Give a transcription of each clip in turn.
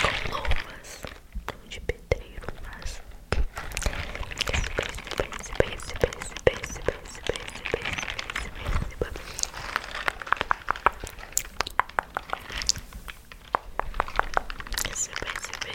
com lomas de pedreiro, mas pense, pense, pense, pense, pense, pense, pense, pense, pense, pense, pense, pense, pense, separa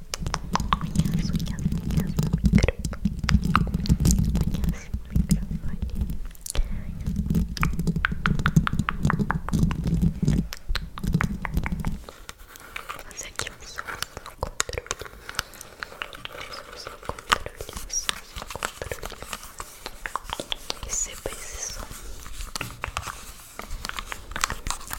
minhas unhas, unhas no microfone. Unhas no microfone. Fazer aqui um som no controle. Um som no controle. Um som no controle. Receba esse som.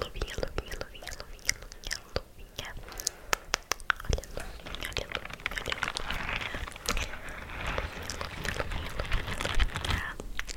Luvinha, luvinha, luvinha, luvinha, luvinha, luvinha. Olha a luvinha, olha a luvinha, olha a luvinha. Luvinha, luvinha, luvinha, luvinha.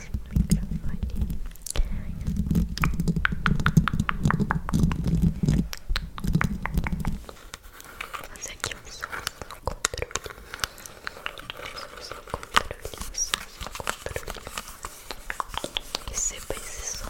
assim no microfone. Fazer aqui um som no controle. Um som no controle, um som no controle. Receba esse som.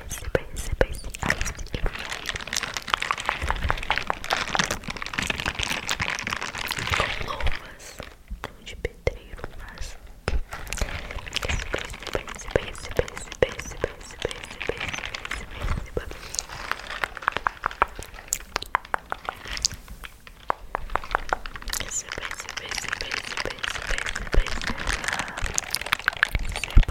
beijo, beijo, beijo. Com loumas de pedreiro, mas. Beijo, beijo, beijo, beijo, beijo, beijo, beijo, beijo, beijo. Beijo, beijo, beijo, beijo, beijo, beijo, beijo. Separa.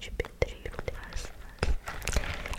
de pedreiro, traço. Separa.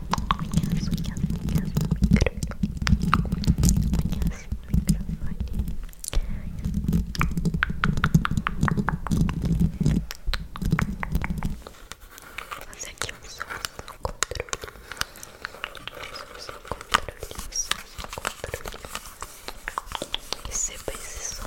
unhas, unhas, unhas no microfone. Unhas é no microfone. Vou fazer aqui um som no controle. Som no controle, som no controle. Receba esse som.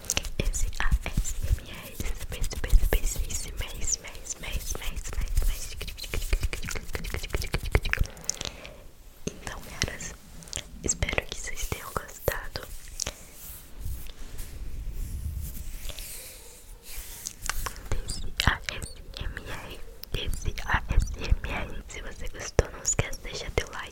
Esse ASMR Esse mês, mês, mês, esse mês, mês, mês, mês, mês, mês Então, caras Espero que vocês tenham gostado Desse ASMR Desse ASMR Se você gostou, não esquece de deixar teu like